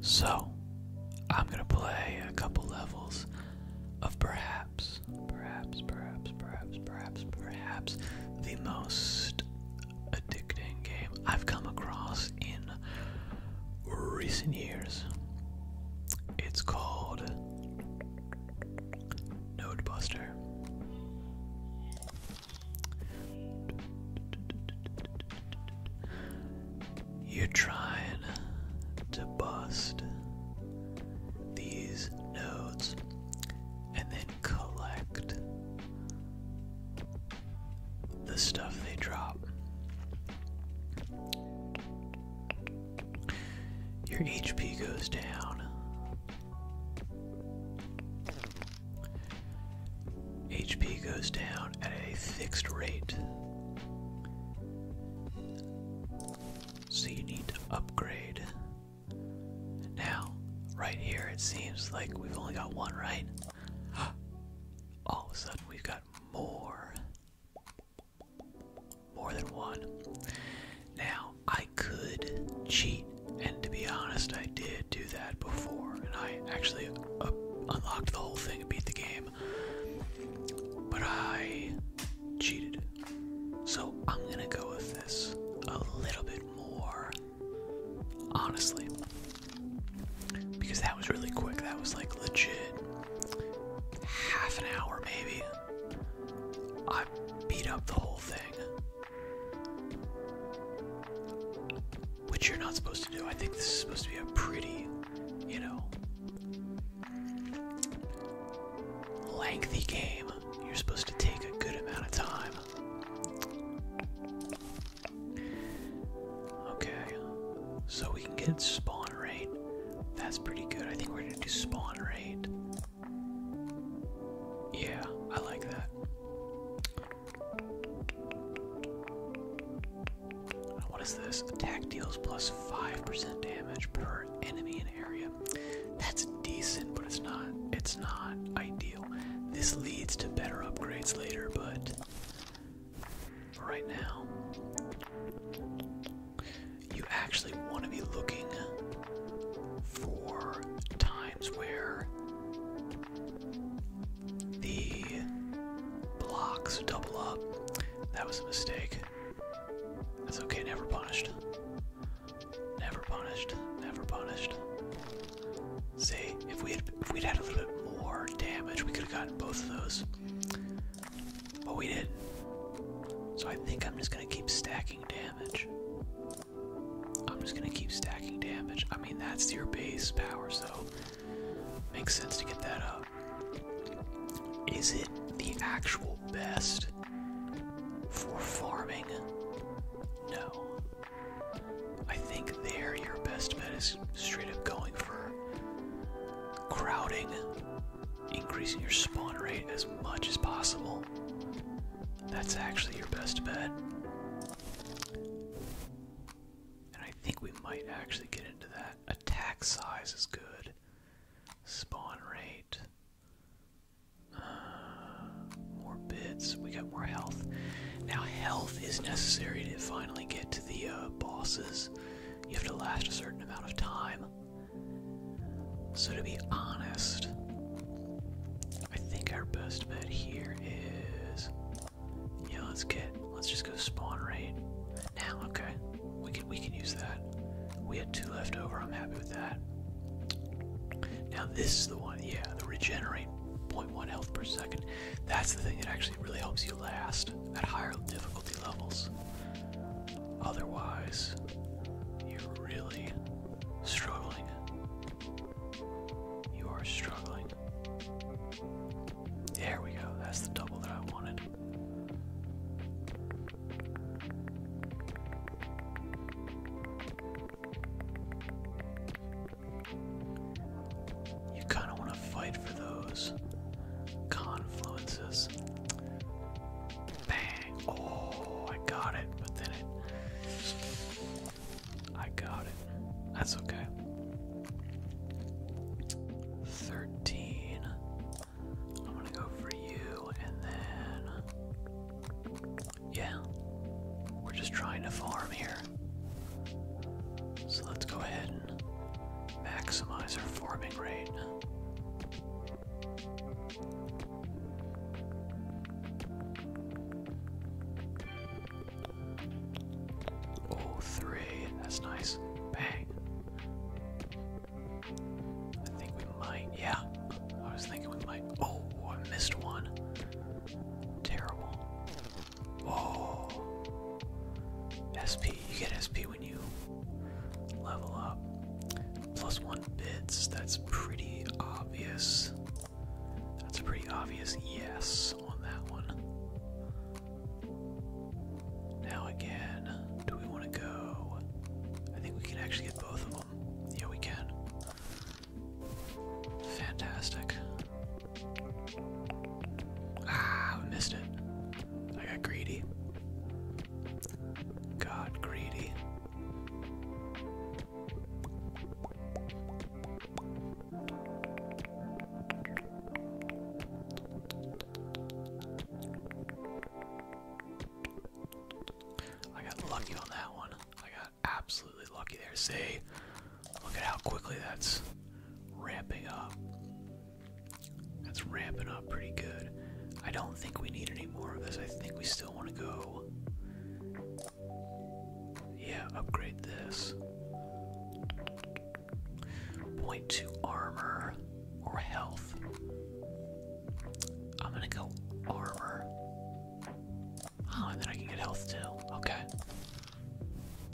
So, I'm gonna play a couple levels of perhaps, perhaps, perhaps, perhaps, perhaps, perhaps the most addicting game I've come across in recent years. It's called Node Buster. You're trying to bust these nodes and then collect the stuff they drop. Your HP goes down. HP goes down at a fixed rate. So you need to upgrade. Now, right here, it seems like we've only got one, right? All of a sudden, we've got more. More than one. Now, I could cheat, and to be honest, I did do that before, and I actually uh, unlocked the whole thing and beat the game. But I cheated. So I'm gonna go with this a little bit more honestly. Because that was really quick. That was like legit half an hour maybe. I beat up the whole thing which you're not supposed to do. I think this is supposed to be a pretty, you know, lengthy game. You're supposed to take a good amount of time. Okay, so we can get spawn rate. That's pretty good. I think we're gonna do spawn rate. Yeah, I like that. What is this? Attack deals 5% damage per enemy in area. That's decent, but it's not it's not ideal. This leads to better upgrades later, but right now you actually want to be looking for times where the blocks double up. That was a mistake. That's okay, never punished. Never punished. Never punished. See, if we had if we'd had a little bit more damage, we could have gotten both of those. But we didn't. So I think I'm just gonna keep stacking damage. I'm just gonna keep stacking damage. I mean that's your base power, so Makes sense to get that up. Is it the actual best for farming? No. I think there your best bet is straight up going for crowding, increasing your spawn rate as much as possible. That's actually your best bet. And I think we might actually get into that. Attack size is good. Spawn rate. Uh, more bits. We got more health. Now, health is necessary to finally get to the uh, bosses. You have to last a certain amount of time. So, to be honest, I think our best bet here is yeah, let's get let's just go spawn right now, okay. We can we can use that. We had two left over, I'm happy with that. Now this is the one, yeah, the regenerate 0.1 health per second. That's the thing that actually really helps you last at higher difficulty levels. Otherwise, you're really struggling. You are struggling. There we go, that's the double that I wanted. You kind of want to fight for those confluences. Bang! Oh, I got it, but it. I got it. That's okay. 13. I'm gonna go for you, and then. Yeah. We're just trying to farm here. So let's go ahead and maximize our farming rate. Oh, three. That's nice. Bang. I think we might. Yeah. I was thinking we might. Oh, I missed one. Terrible. Whoa. SP. You get SP when you level up. Plus one bits. That's pretty obvious. That's pretty obvious yes on that one. Now again, do we want to go? I think we can actually get both of them. Yeah, we can. Fantastic. Ah, I missed it. I got greedy. Got greedy. I got lucky on that one. I got absolutely lucky there. See? Look at how quickly that's ramping up. That's ramping up pretty good. I don't think we need any more of this. I think we still want to go. Yeah, upgrade this. Point to armor or health. I'm gonna go armor. Oh, and then I can get health too. Okay.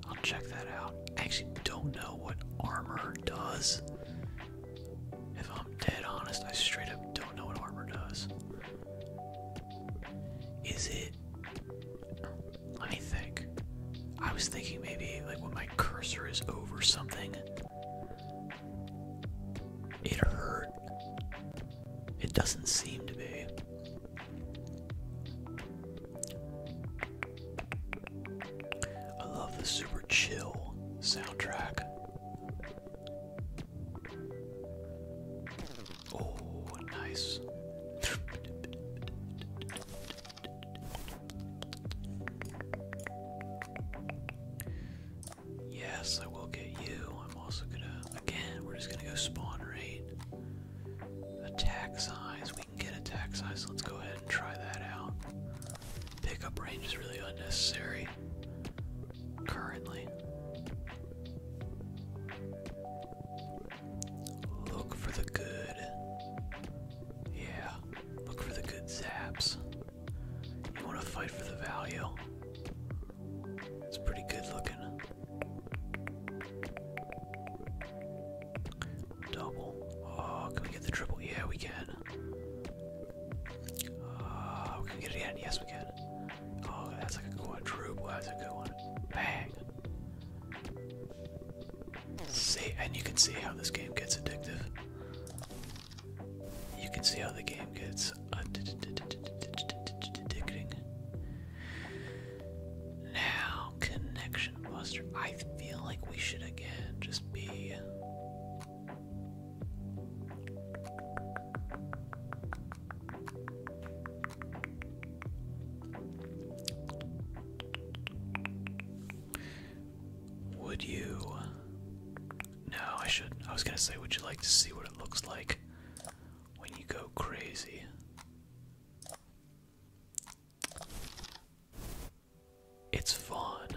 I'll check that out. I actually don't know what armor does. If I'm dead honest, I straight up don't know what armor does. Is it let me think. I was thinking maybe like when my cursor is over something, it hurt. It doesn't seem to be. I love the super chill soundtrack. Oh, nice. Yes, I will get you. I'm also gonna, again, we're just gonna go spawn rate. Attack size. We can get attack size. Let's go ahead and try that out. Pickup range is really unnecessary currently. Look for the good. Yeah, look for the good zaps. You want to fight for the value. It's pretty good looking. Double. Oh, can we get the triple? Yeah, we can. Oh, we can get it in. Yes, we can. Oh, that's like a quadruple. That's a good one. Bang. See, and you can see how this game gets addictive. You can see how the game gets addicting. Now, connection buster. I feel like we should again just be. Would you? No, I should I was gonna say, would you like to see what it looks like when you go crazy? It's fun,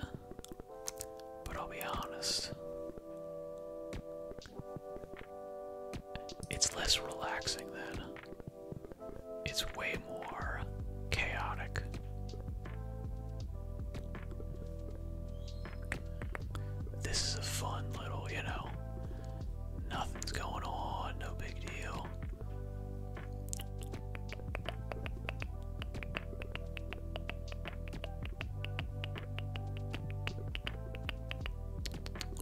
but I'll be honest. It's less relaxing than it's way more chaotic. This is a fun little, you know, nothing's going on, no big deal.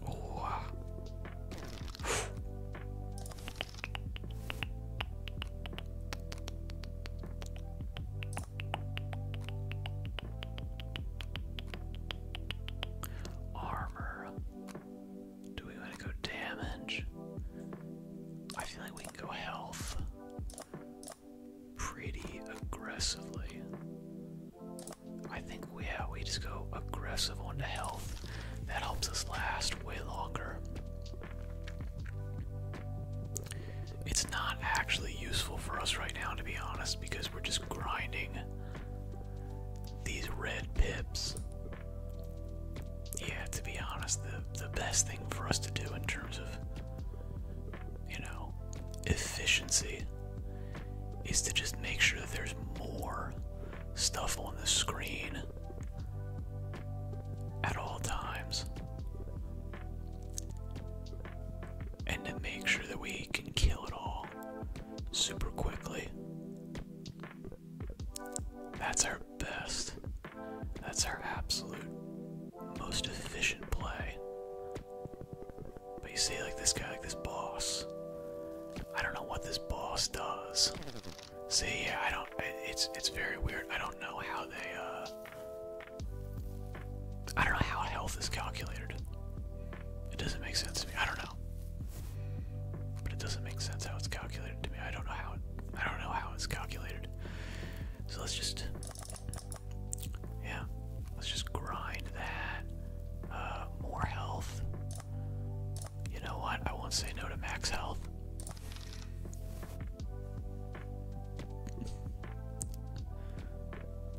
Oh, Armor. Do we want to go damage? I feel like we can go health pretty aggressively. I think we we just go aggressive on the health. That helps us last way longer. It's not actually useful for us right now, to be honest, because we're just grinding these red pips. Yeah, to be honest, the the best thing for us to do in terms of you know efficiency is to just make sure that there's more stuff on the screen at all times. And to make sure that we can kill it all super quickly. That's our best. That's our absolute most efficient play. But you see, like this guy, like this boss, I don't know what this boss does. See, yeah, I don't. It's it's very weird. I don't know how they. uh... I don't know how health is calculated. It doesn't make sense to me. I don't know. But it doesn't make sense how it's calculated to me. I don't know how. I don't know how it's calculated. So let's just. Yeah, let's just grind that. Uh, more health. You know what? I won't say no to max health.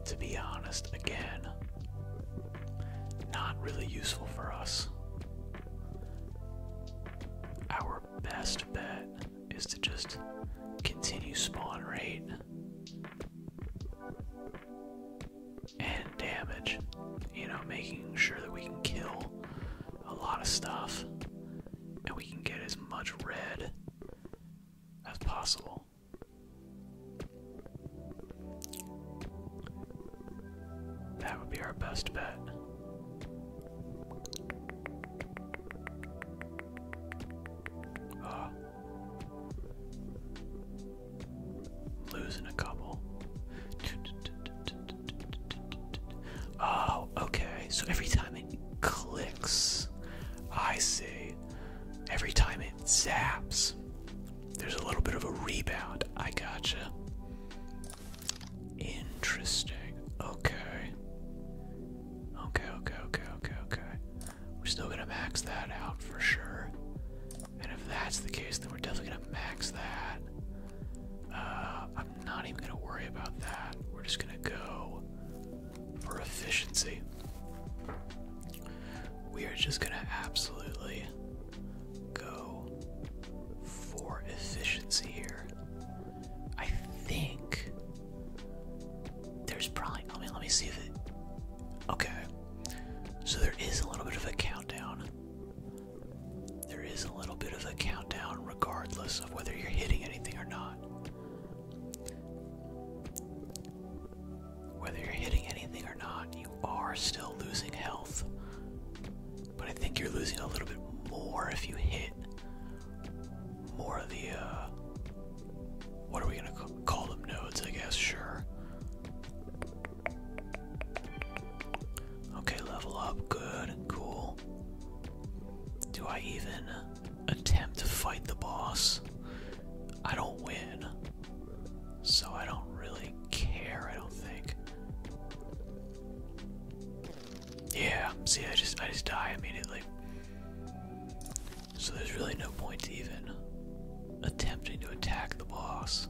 To be honest, again, not really useful for us. Our best bet is to just continue spawn rate and damage. You know, making sure that we can kill a lot of stuff and we can get as much red as possible. That would be our best bet. Ah. Losing a couple. Oh, okay. So every time it clicks, I see. Every time it zaps, there's a little bit of a rebound. I gotcha. Interesting. Okay. Okay, okay, okay, okay, okay. We're still gonna max that out for sure. And if that's the case, then we're definitely gonna max that. Uh, I'm not even gonna worry about that. We're just gonna go for efficiency. We are just gonna absolutely go for efficiency here. I think there's probably. I mean, let me see if it Okay. So there is a little bit of a countdown. There is a little bit of a countdown regardless of whether you're hitting anything or not. Whether you're hitting anything or not, you are still losing health. But I think you're losing a little bit more if you hit more of the, uh, what are we gonna call them? Nodes, I guess, sure. Okay, level up. Good, cool. Do I even attempt to fight the boss? I don't win. So I don't really care, I don't think. Yeah, see I just I just die immediately. So there's really no point even attempting to attack the boss.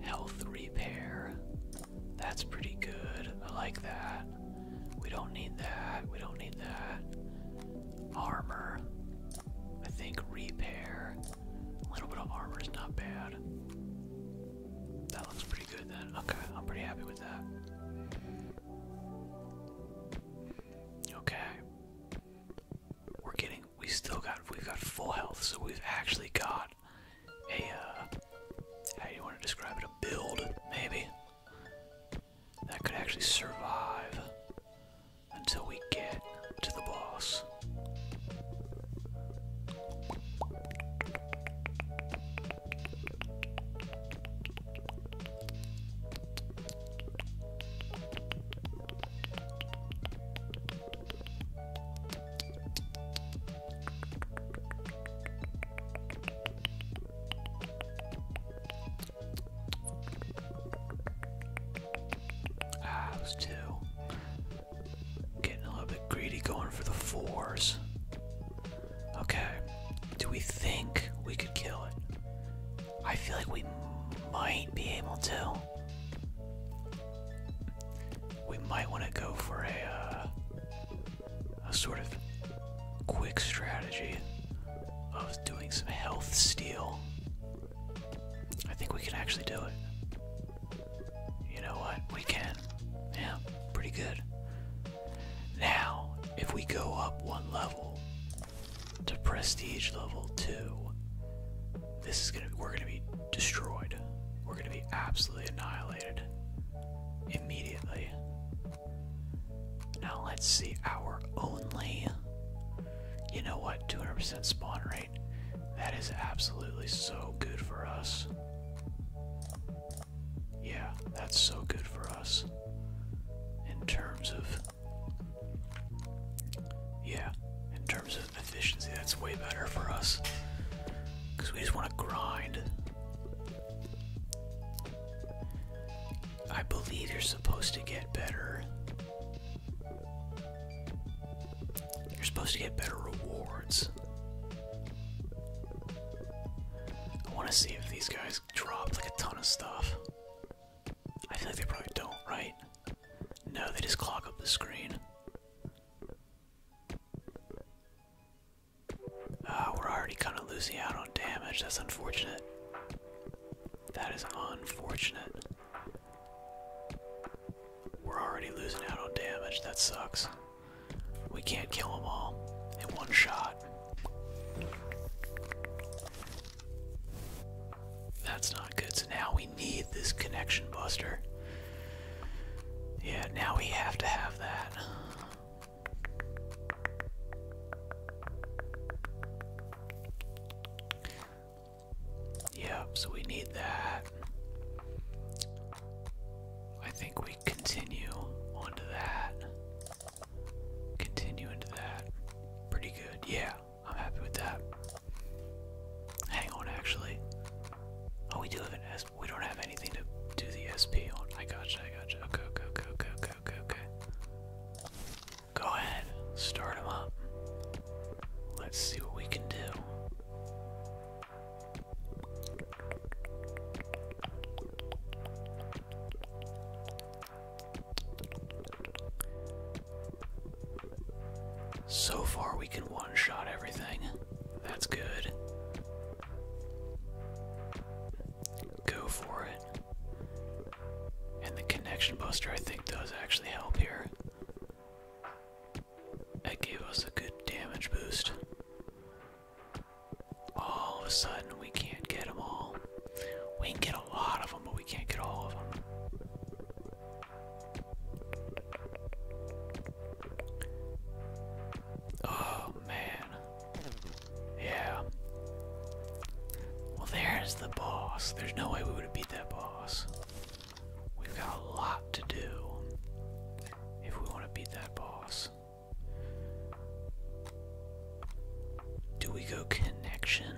Health repair. That's pretty good. I like that. We don't need that. We don't need that. Armor. I think repair. A little bit of armor is not bad. That looks pretty good then. Okay, I'm pretty happy with that. Okay we're getting we still got we've got full health so we've actually got a uh how do you want to describe it a build maybe that could actually survive until we get to the boss I was ah, too. Getting a little bit greedy going for the fours. Okay. Do we think we could kill it? I feel like we might be able to. We might want to go for a uh, a sort of quick strategy of doing some health steal. I think we can actually do it. You know what? We can. Yeah, pretty good. Now, if we go up one level, to prestige level two. This is gonna we're gonna be destroyed. We're gonna be absolutely annihilated immediately. Now let's see our only you know what 200% spawn rate that is absolutely so good for us yeah that's so good for us in terms of yeah, in terms of efficiency, that's way better for us. Because we just want to grind. I believe you're supposed to get better. You're supposed to get better rewards. I want to see if these guys dropped like a ton of stuff. I feel like they probably don't, right? No, they just clog up the screen. Ah, we're already kind of losing out on damage. That's unfortunate. That is unfortunate. We're already losing out on damage. That sucks. We can't kill them all in one shot. That's not good. So now we need this connection buster. Yeah, now we have to have that. Yep, so we need that. I think we continue onto that. Continue into that. Pretty good. Yeah, I'm happy with that. Hang on, actually. Oh, we do have an S. We don't have anything to do the SP on. I gotcha, I gotcha. Okay, okay, okay, okay, okay, Go ahead, start up. Let's see what we can do. So far, we can one shot everything. That's good. Go for it. And the connection buster, I think, does actually help here. That gave us a good damage boost. All of a sudden, we can't get them all. We can get a lot of them, but we can't get all of them. Oh man. Yeah. Well, there's the boss. There's no way we would have beat that boss. We've got a lot to do if we want to beat that boss. Do we go connection?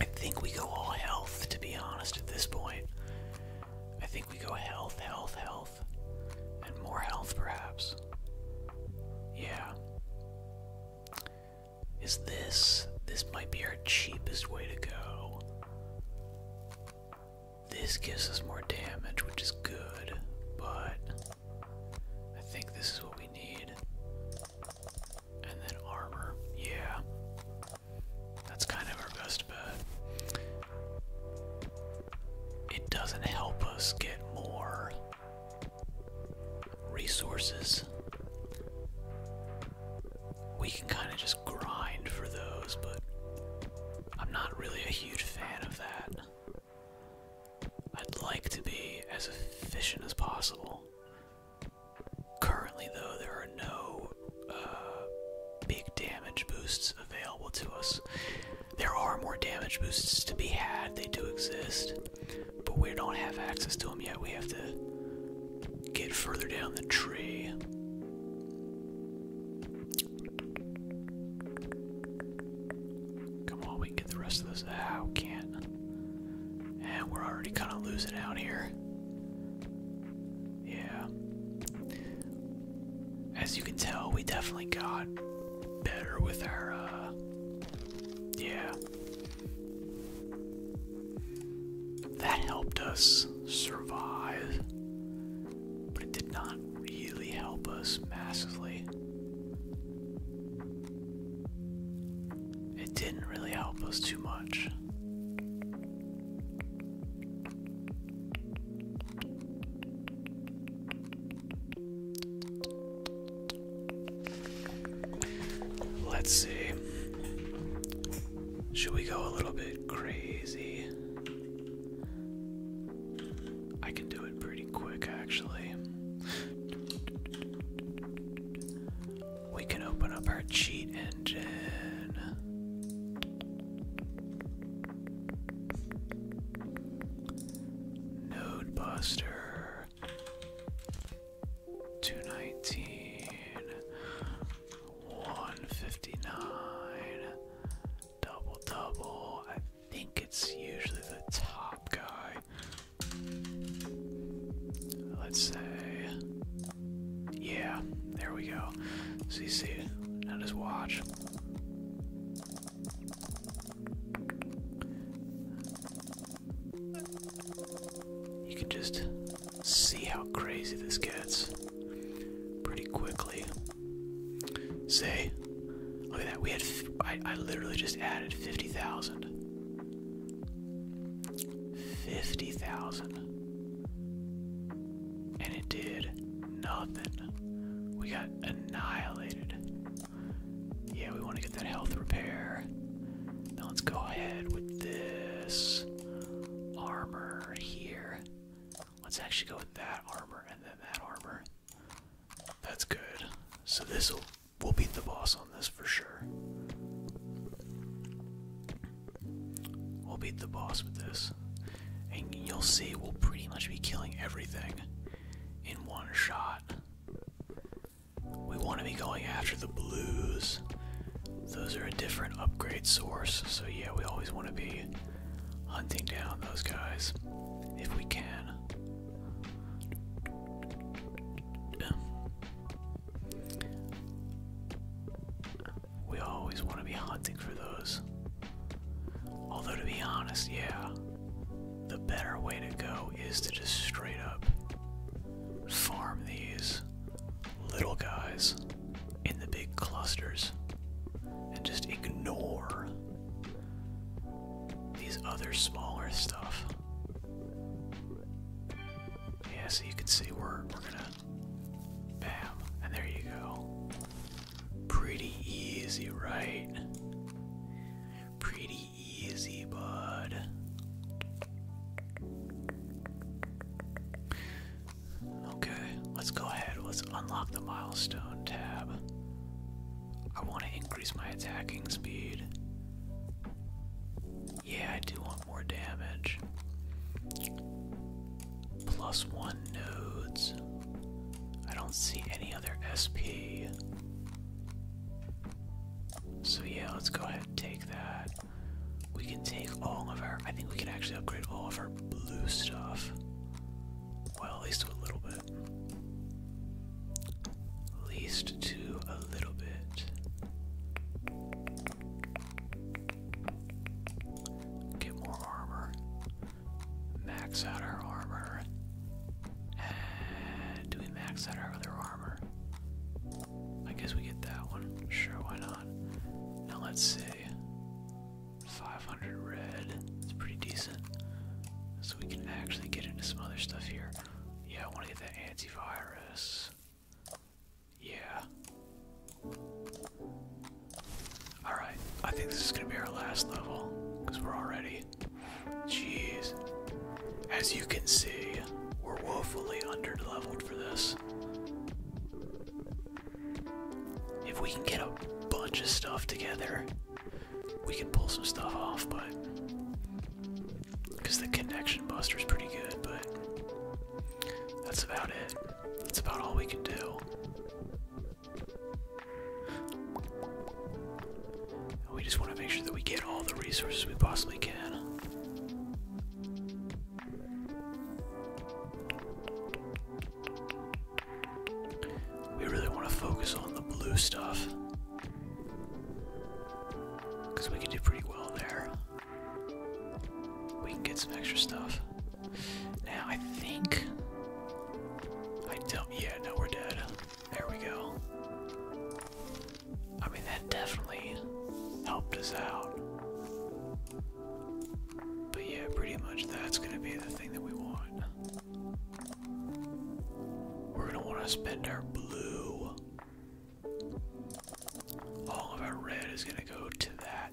I think we go all health, to be honest, at this point. I think we go health, health, health. And more health, perhaps. Yeah. Is this. This might be our cheapest way to go. This gives us more damage, which is good, but. I think this is what we need. And then armor. Yeah. That's kind of our best bet. It doesn't help us get more resources. We can kind of just grind for those, but I'm not really a huge fan of that. I'd like to be as efficient as possible. Currently, though, there are no uh, big damage boosts available to us. There are more damage boosts to be had, they do exist, but we don't have access to them yet. We have to get further down the tree. Come on, we can get the rest of this. Ah, can't. And we're already kind of losing out here. Yeah. As you can tell, we definitely got better with our, uh, yeah. That helped us survive, but it did not really help us massively. It didn't really help us too much. Let's see. Should we go a little bit crazy? I can do it pretty quick, actually. We can open up our cheat engine. Node Buster 219 159 double double. I think it's usually the top guy. Let's say, yeah, there we go. CC, now just watch. You can just see how crazy this gets pretty quickly. Say, Look at that. We had. I, literally just added fifty thousand. Fifty thousand. And it did nothing. We got annihilated. Yeah, we want to get that health repair. Now let's go ahead with this armor here. Let's actually go with that armor and then that armor. That's good. So this will we'll beat the boss on this for sure. We'll beat the boss with this. And you'll see we'll pretty much be killing everything in one shot. We want to be going after the blues. Those are a different upgrade source, so yeah, we always want to be hunting down those guys if we can. We always want to be hunting for those. Although, to be honest, yeah, the better way to go is to just straight up farm these little guys in the big clusters and just ignore these other smaller stuff. Yeah, so you can see we're we're gonna bam, and there you go. Pretty easy, right? Pretty easy, bud. Okay, let's go ahead. Let's unlock the milestone tab. I want to increase my attacking speed. Yeah, I do want more damage. Plus one nodes. I don't see any other SP. So, yeah, let's go ahead and take that. We can take all of our. I think we can actually upgrade all of our blue stuff. Well, at least do a little bit. At least two, a little bit. Get more armor. Max out our armor. do we max out our other armor? I guess we get that one. Sure, why not? Now let's see. 500 red. It's pretty decent. So we can actually get into some other stuff here. Yeah, I want to get that antivirus. Yeah. Alright, I think this is going to be our last level because we're already. Jeez. As you can see, we're woefully underleveled for this. If we can get a bunch of stuff together, we can pull some stuff off, but because the connection buster's pretty good, but that's about it. That's about all we can do. we just want to make sure that we get all the resources we possibly can. We really want to focus on the blue stuff. Because we can do pretty well there. We can get some extra stuff. Now, I think. I don't. Yeah, no, we're dead. There we go. I mean, that definitely helped us out. But yeah, pretty much that's gonna be the thing that we want. We're gonna want to spend our blue. All of our red is gonna go to that.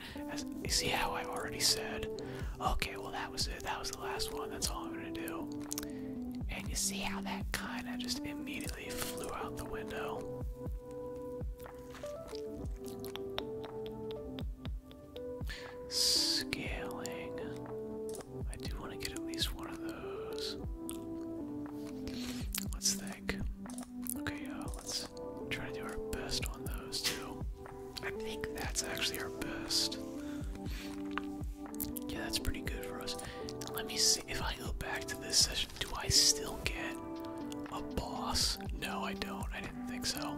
you see how i already said? Okay, well that was it. That was the last one. That's all I'm gonna do. And you see how that kind of just immediately flew out the window. Scaling. I do want to get at least one of those. Let's think. Okay, uh, let's try to do our best on those two. I think that's actually our best. Yeah, that's pretty good for us. Let me see if I go back to this session. Do I still get a boss? No, I don't. I didn't think so.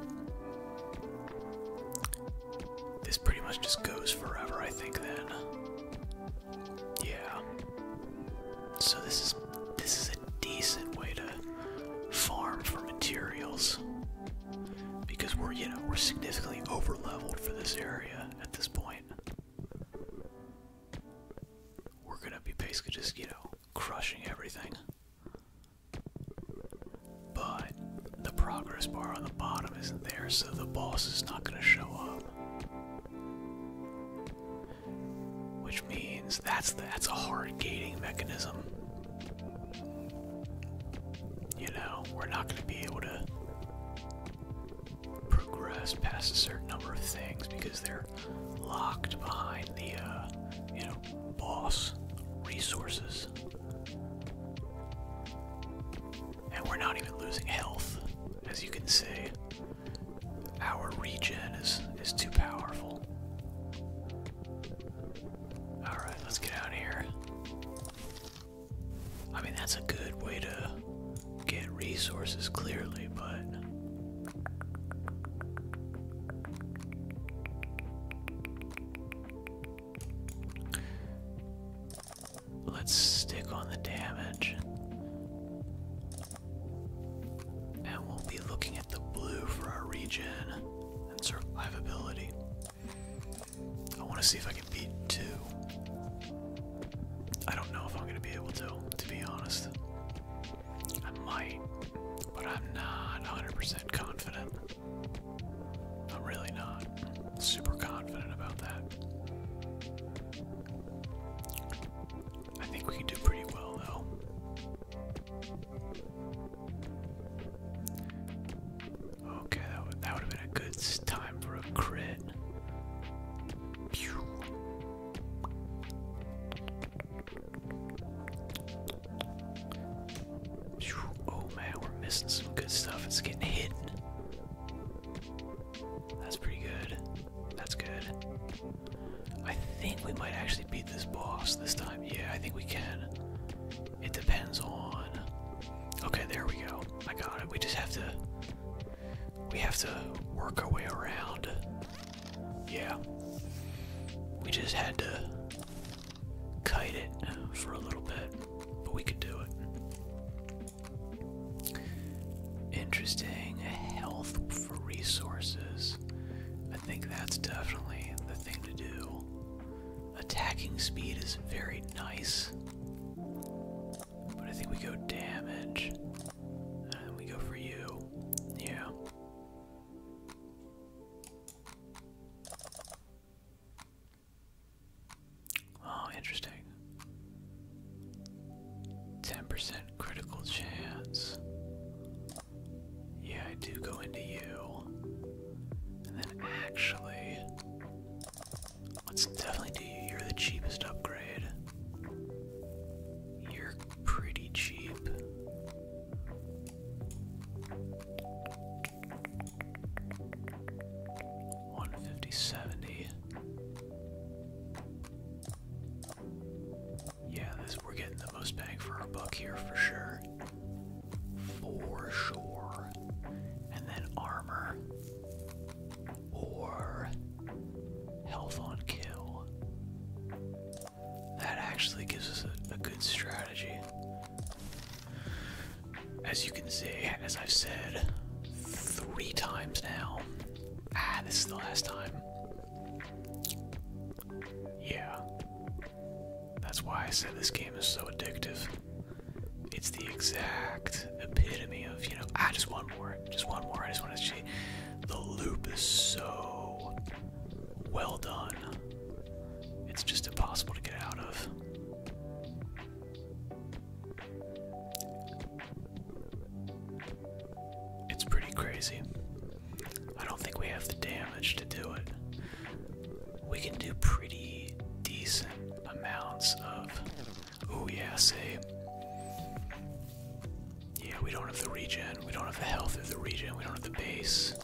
This pretty much just goes forever, I think, then. Yeah. So this is this is a decent way to farm for materials. Because we're, you know, we're significantly over leveled for this area at this point. We're gonna be basically just, you know, crushing everything but the progress bar on the bottom isn't there, so the boss is not going to show up. Which means that's that's a hard gating mechanism. You know, we're not going to be able to progress past a certain number of things because they're locked behind the uh, you know boss resources. And we're not even losing health, as you can see. Our regen is is too powerful. Alright, let's get out here. I mean that's a good way to get resources clearly, but Let's stick on the damage. And we'll be looking at the blue for our regen and survivability. I want to see if I can beat two. I don't know if I'm going to be able to, to be honest. I might, but I'm not 100% confident. I'm really not super confident about that. I think we can do pretty well, though. Okay, that would, have been a good time for a crit. Oh man, we're missing some good stuff. It's getting hidden. That's pretty good. That's good. I think we might actually beat this boss this time. Yeah, I think we can. It depends on. Okay, there we go. I got it. We just have to. We have to work our way around. Yeah. We just had to kite it for a little bit but we could do it. Interesting. Health for resources. I think that's definitely the thing to do. Attacking speed is very nice. But I think we go damage. And uh, we go for you. Yeah. Oh, interesting. 10% critical chance. Yeah, I do go into you. And then actually, let's definitely do you. You're the cheapest upgrade. You're pretty cheap. 150, 70. Yeah, this we're getting the most bang for our buck here for sure. For sure. And then armor. Or health on kill. That actually gives us a good strategy. As you can see, as I've said three times now, ah, this is the last time. Yeah. That's why I said this game is so addictive. It's the exact epitome of, you know, ah, just one more, just one more, I just want to see. The loop is so well done. It's just impossible to get out of. It's pretty crazy. I don't think we have the damage to do it. We can do pretty decent amounts of. Oh, yeah, say. Yeah, we don't have the regen, we don't have the health of the regen, we don't have the base.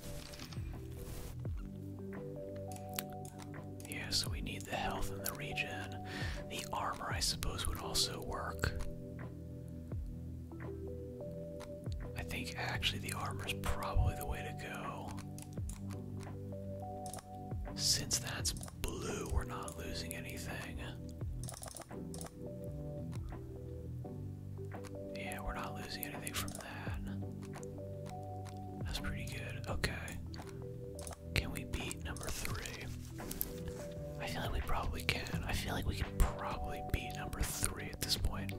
Yeah, so we need the health in the region. The armor, I suppose, would also work. I think actually the armor is probably the way to go. Since that's blue, we're not losing anything. Yeah, we're not losing anything from that's pretty good. Okay. Can we beat number three? I feel like we probably can. I feel like we can probably beat number three at this point.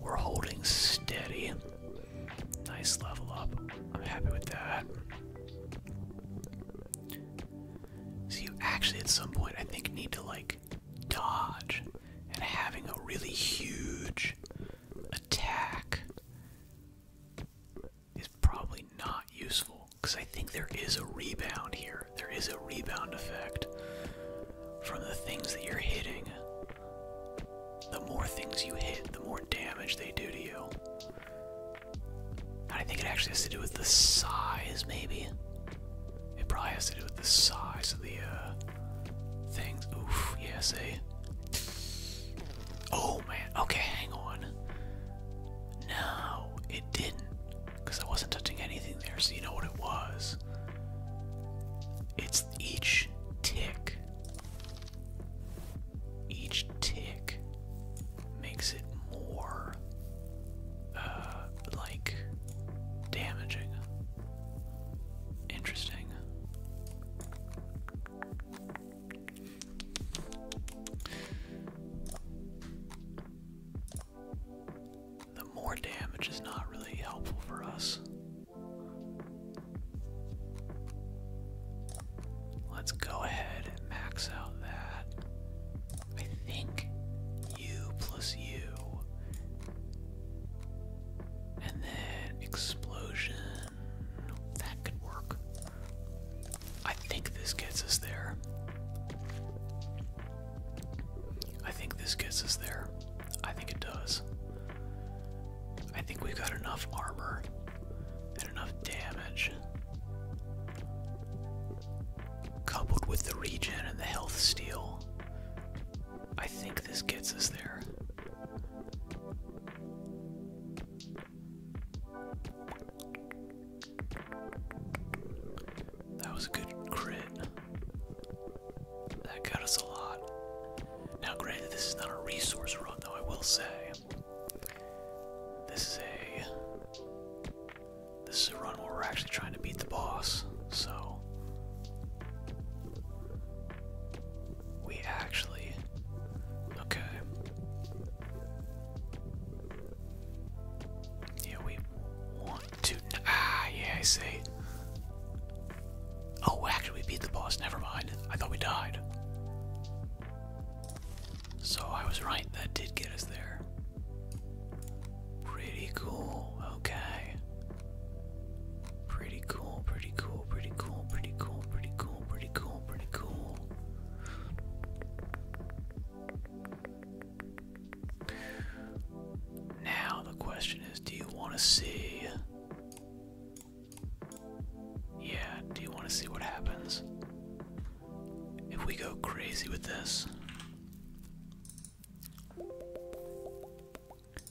We're holding steady. Nice level up. I'm happy with that. So, you actually, at some point, I think, need to like dodge. And having a really huge attack is probably not useful because I think there is a rebound here. There is a rebound effect from the things that you're hitting. The more things you hit, the more damage they do to you. I think it actually has to do with the size, maybe. It probably has to do with the size of the uh, things. Oof, yeah, say. Oh man, okay, hang on. No, it didn't. Because I wasn't touching anything there, so you know what it was. It's each tick. Each tick makes it more, uh, like damaging. Interesting. The more damage is not really helpful for us. Let's go ahead and max out that. I think U plus U and then explosion. That could work. I think this gets us there. I think this gets us there. I think it does. I think we've got enough armor and enough damage. Coupled with the regen and the health steal I think this gets us there. That was a good crit. That got us a lot. Now, granted, this is not a resource run, though, I will say. This is a. This is a run where we're actually trying to beat the boss, so. We actually. Okay. Yeah, we want to. Ah, yeah, I see. Oh, actually, we beat the boss. Never mind. I thought we died. So I was right. That did get us there. Pretty cool. Okay. Pretty cool, pretty cool, pretty cool, pretty cool, pretty cool, pretty cool, pretty cool. Now the question is, do you want to see? Yeah, do you want to see what happens? If we go crazy with this.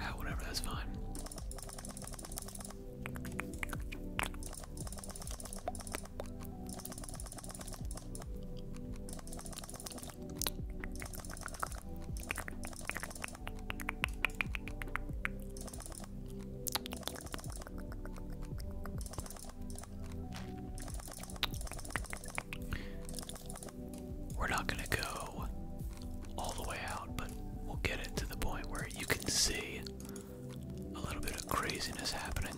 Ah, whatever, that's fine. We're not going to go all the way out, but we'll get it to the point where you can see a little bit of craziness happening.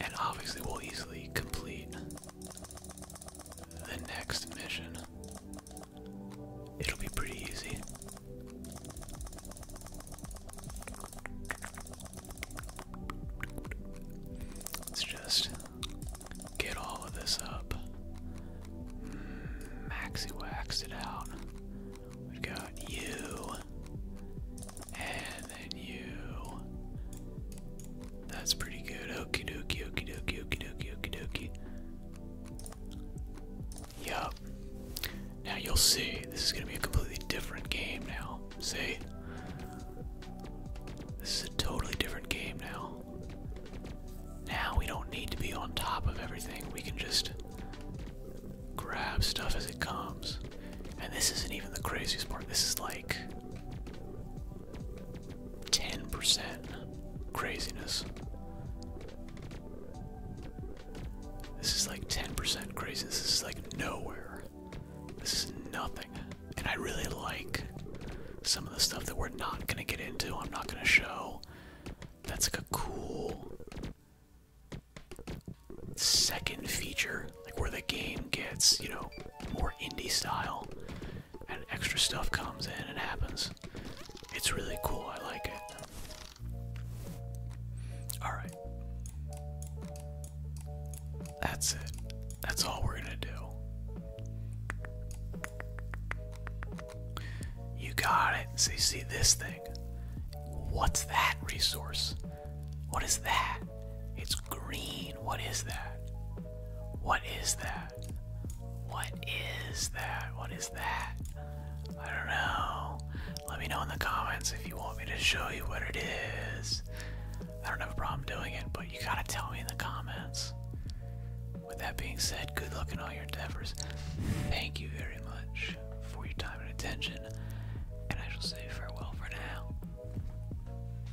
And obviously, we'll easily complete the next mission. It'll be pretty easy. Let's just get all of this up. Hmm, maxi waxed it out. we got you, and then you, that's pretty good. Okie dokie, okie dokie, okie dokie, okie dokie. Yup. Now you'll see. This is going to be a completely different game now. See? This is a totally different game now. Now we don't need to be on top of everything. We can just grab stuff as it comes. And this isn't even the craziest part. This is like 10% craziness. This is like 10% craziness. This is like nowhere. This is nothing. And I really like some of the stuff that we're not going to get into. I'm not going to show. That's like a cool second feature, like where the game gets, you know, more indie style, and extra stuff comes in and happens. It's really cool, I like it. Alright. That's it. That's all we're gonna do. You got it. So you see this thing. What's that resource? What is that? It's green. What is that? What is that? What is that? What is that? I don't know. Let me know in the comments if you want me to show you what it is. I don't have a problem doing it, but you gotta tell me in the comments. With that being said, good luck in all your endeavors. Thank you very much for your time and attention, and I shall say farewell for now.